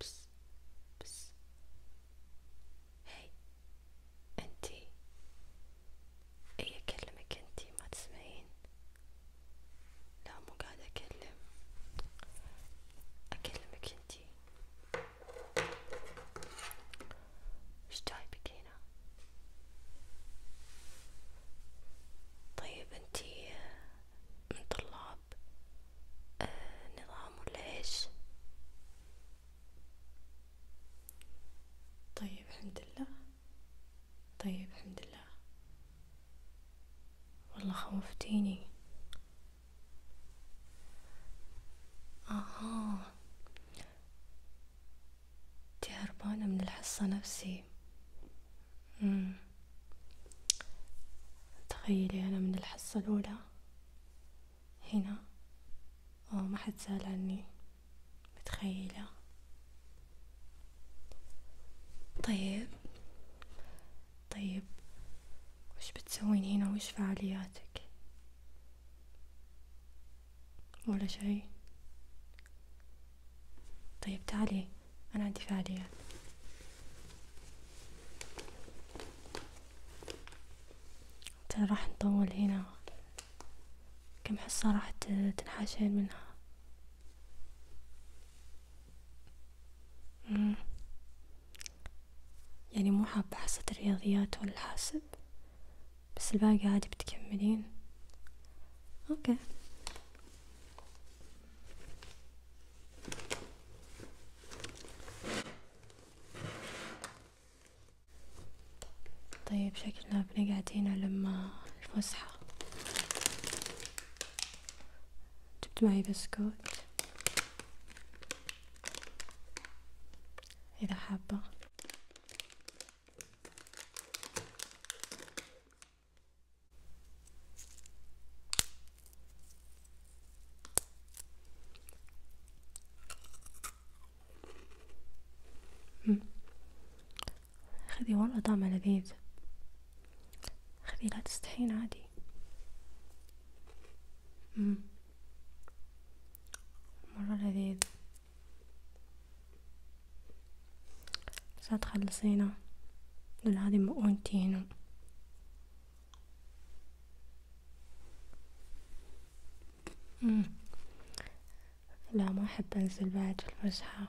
بس بس هاي انتي اي اكلمك انتي ما تسمعين لا مو قاعدة اكلم اكلمك انتي وش جايبك هنا؟ طيب انتي من طلاب آه، نظام ولا ايش؟ طيب الحمد لله طيب الحمد لله والله خوفتيني آه انتي هربانة من الحصة نفسي مم. تخيلي أنا من الحصة الأولى هنا اه ما حد سأل عني متخيلة طيب طيب وش بتسوين هنا وش فعالياتك ولا شي طيب تعالي أنا عندي فعاليات ترى راح نطول هنا كم حصة راح تنحاشين منها يعني مو حابة حصة الرياضيات ولا الحاسب بس الباقي عادي بتكملين اوكي طيب شكلنا بنقعد هنا لما الفسحة جبت معي بسكوت إذا حابة خذي والله طعمه لذيذ خذي لا تستحين عادي مرة لذيذ بس لا تخلصينا لأن هذه مؤونتي لا ما أحب أنزل بعد الفسحة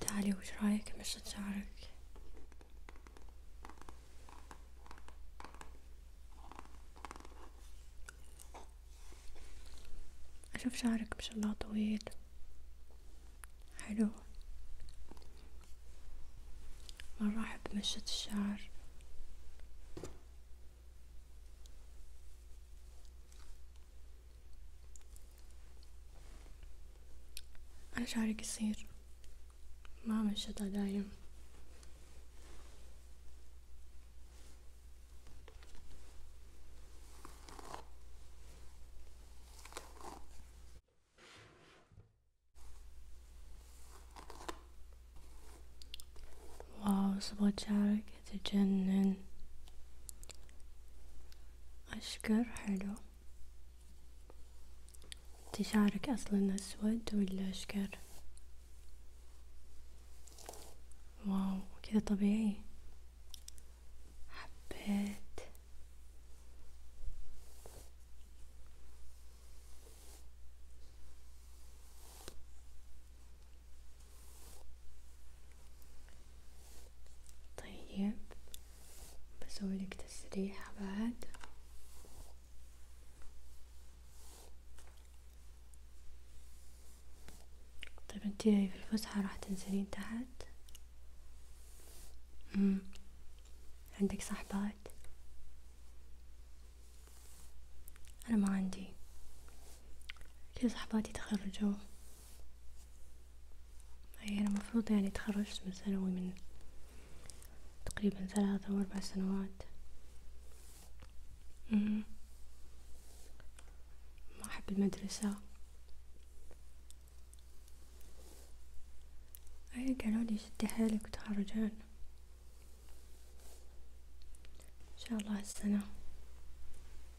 تعالي وش رايك مشط شعرك أشوف شعرك ما شاء الله طويل حلو مرة أحب مشط الشعر أنا شعري قصير ما أعمل شتا دايم واو صبغة شعرك حاجة تجنن أشكر حلو انتي شعرك أصلا أسود ولا أشكر واو كذا طبيعي حبيت طيب بسويلك تسريحة بعد طيب انتي في الفسحة راح تنزلين تحت مم. عندك صحبات أنا ما عندي كل صحباتي تخرجوا هي أنا مفروض يعني تخرجت من ثانوي من تقريبا ثلاثة أو أربع سنوات مم. ما أحب المدرسة أي قالوا لي شدي حيلك وتخرجان إن شاء الله هالسنة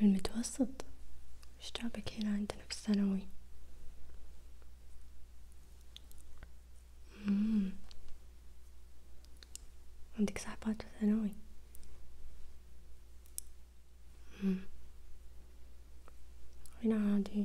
من المتوسط ايش جابك هنا عندنا في الثانوي عندك صحبات في الثانوي هنا عادي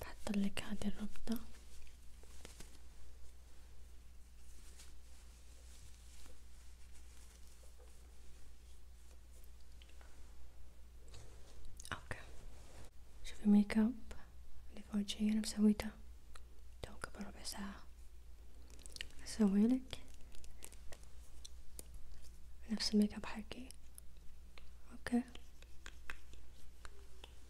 بحطلك هذه الربطة اوكي شوفي الميك اب اللي في انا مسويته تو قبل ربع ساعة اسويلك نفس الميك اب حقي اوكي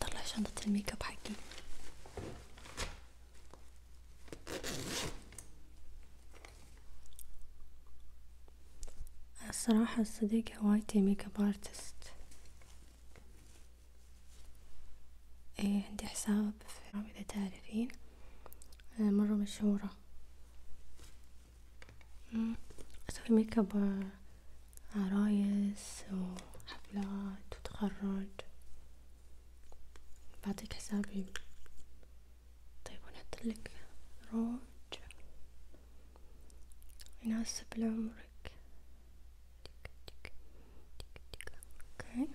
طلع شنطة الميك اب حقي الصراحة صديقي هوايتي ميك اب ارتست إيه عندي حساب في إذا تعرفين مرة مشهورة أسوي ميك اب عرايس آه، وحفلات وتخرج بعطيك حسابي طيب ونحطلك روج يناسب لعمرك اوكي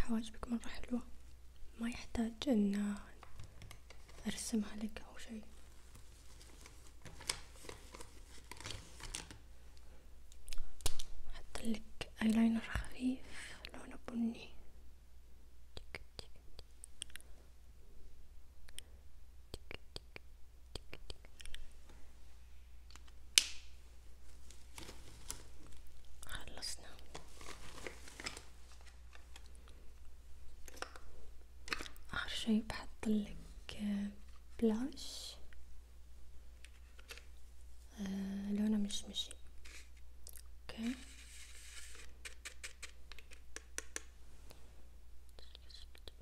حواجبك مرة حلوة ما يحتاج ان ارسمها لك او شيء حط لك ايلاينر خفيف لونه بني خلصنا اخر شي بحط لك بلاش آه لونه مشمشي اوكي اوكي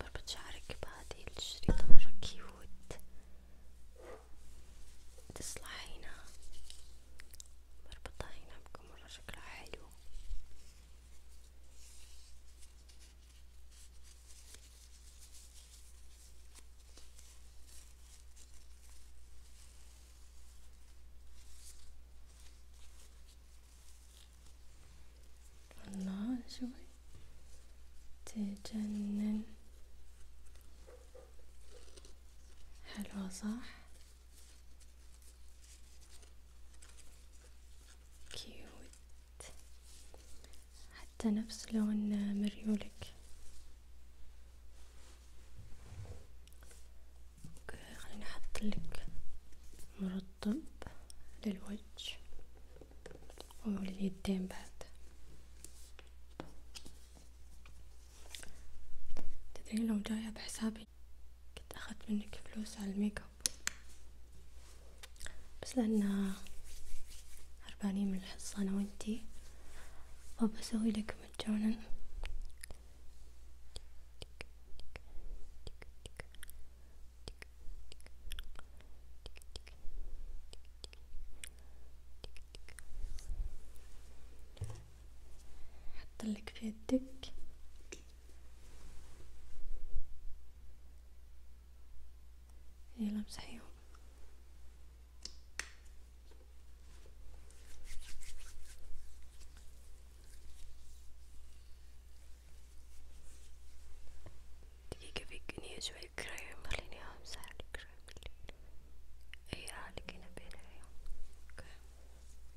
بربط شعرك بهذه الشريطة مرة كيوت تصلحينها بربطها هنا بكم مرة شكلها حلو الله شوي تجنن حلوة صح كيوت حتى نفس لون مريولك خليني احطلك مرطب للوجه ولليدين بعد تدرين لو جاية بحسابي كنت أخذت منك فلوس على الميك اب بس لأن هربانين من الحصة أنا وأنتي فبسوي لك مجانا حطلك في يدك يلا امسحيهم دقيقة بيكني شوي كريم خليني امسح الكريم اللي اي راه لقينا بين اوكي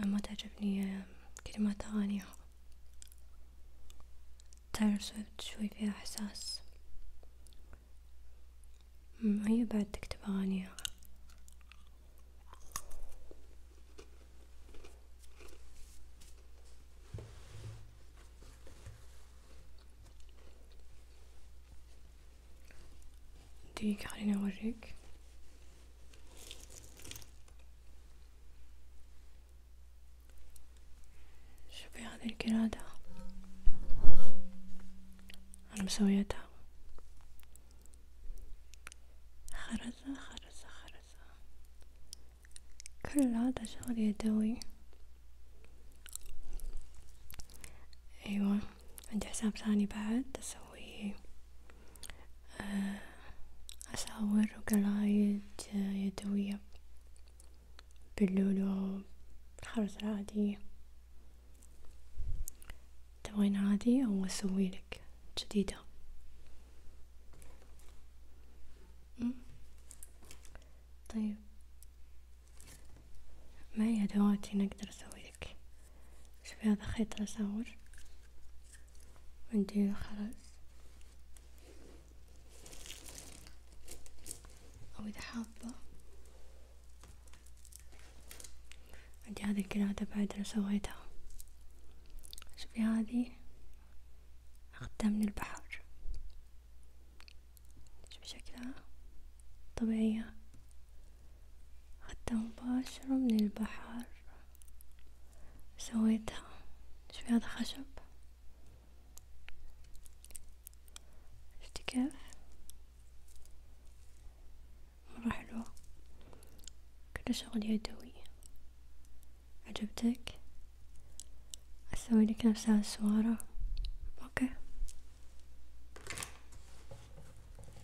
ما تعجبني كلمات أغانيها تايلور سويفت شوي فيها إحساس هي بعد تكتب أغانيها دقيقة خليني أوريك شوفي هذه القلادة أنا مسويتها خرزة خرزة خرزة كل هذا شغل يدوي أيوة عندي حساب ثاني بعد أسويه آه، أصور قرايد آه، يدوية باللولو بالخرز العادية تبغين عادي أو أسويلك جديدة طيب معي أدواتي نقدر أسويلك شوفي هذا خيط راس عور ونديرو خلاص او اذا حابه عندي هذي القرادة بعد انا سويتها شوفي هذي اخدتها من البحر شوفي شكلها طبيعية خدتها مباشرة من البحر سويتها شوفي هذا خشب شفتي كيف مرة حلوة كله شغل يدوي عجبتك اسوي لك نفس هالسوارة اوكي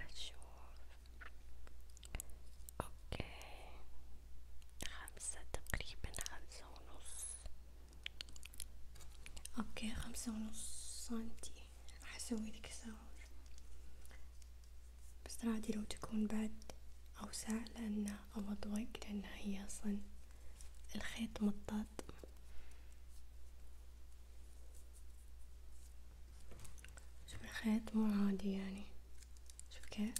أشوف أوكي خمسة تقريبا خمسة ونص أوكي خمسة ونص سنتي راح أسوي لك بس رادي لو تكون بعد أوسع لأنه أوضوك لأنها هي أصلا الخيط مطاط شوف الخيط مو عادي يعني شوف كيف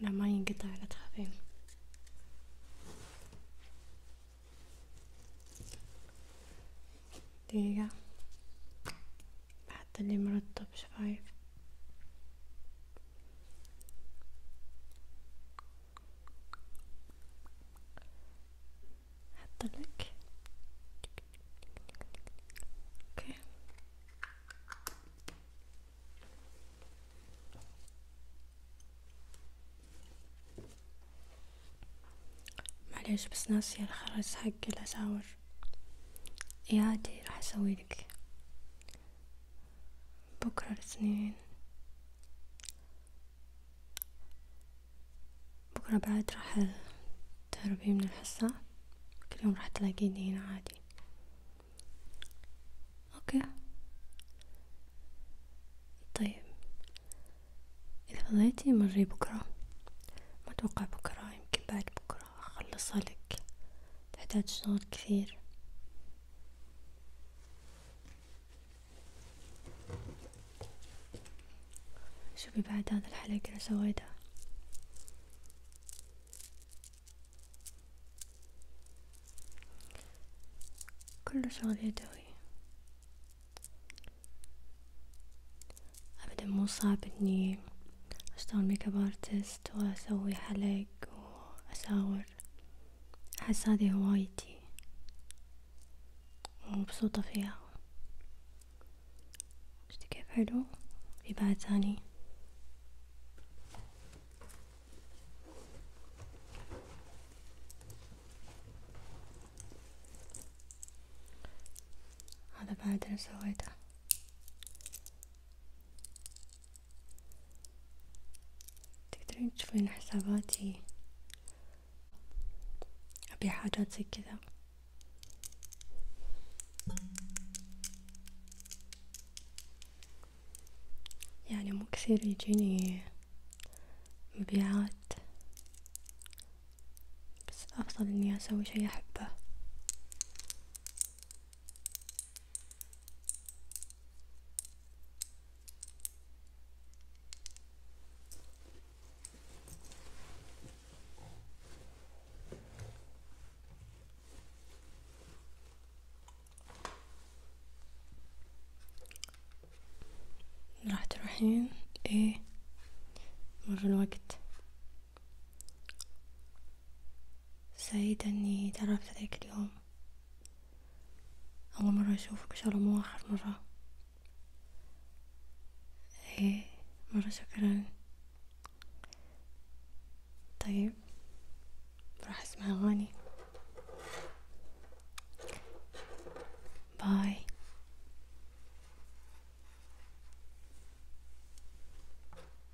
لا ما ينقطع لا تخافين دقيقة بحط اللي مرتب شفايف حط اوكي معليش بس ناسية الخرز حق الأساور عادي راح أسوي لك بكرة الاثنين بكرة بعد راح تهربي من الحصة كل يوم راح تلاقيني هنا عادي اوكي طيب اذا فضيتي مري بكرة ما اتوقع بكرة يمكن بعد بكرة اخلصها لك تعداد شغل كثير شوفي بعد هذا الحلقة اللي سويتها كله شغل يدوي أبدا مو صعب إني أشتغل ميك اب ارتست وأسوي حلق وضحك وأساور أحس هذه هوايتي ومبسوطة فيها شتي كيف حلو في بعد ثاني هذا بعد أنا سويته تقدرين تشوفين حساباتي ابي حاجات زي كذا يعني مو كثير يجيني مبيعات بس أفضل إني أسوي شي أحبه راح تروحين ايه مر الوقت سعيدة اني تعرفت عليك اليوم اول مرة اشوفك ان شاء الله مو اخر مرة ايه مرة شكرا طيب راح اسمع اغاني باي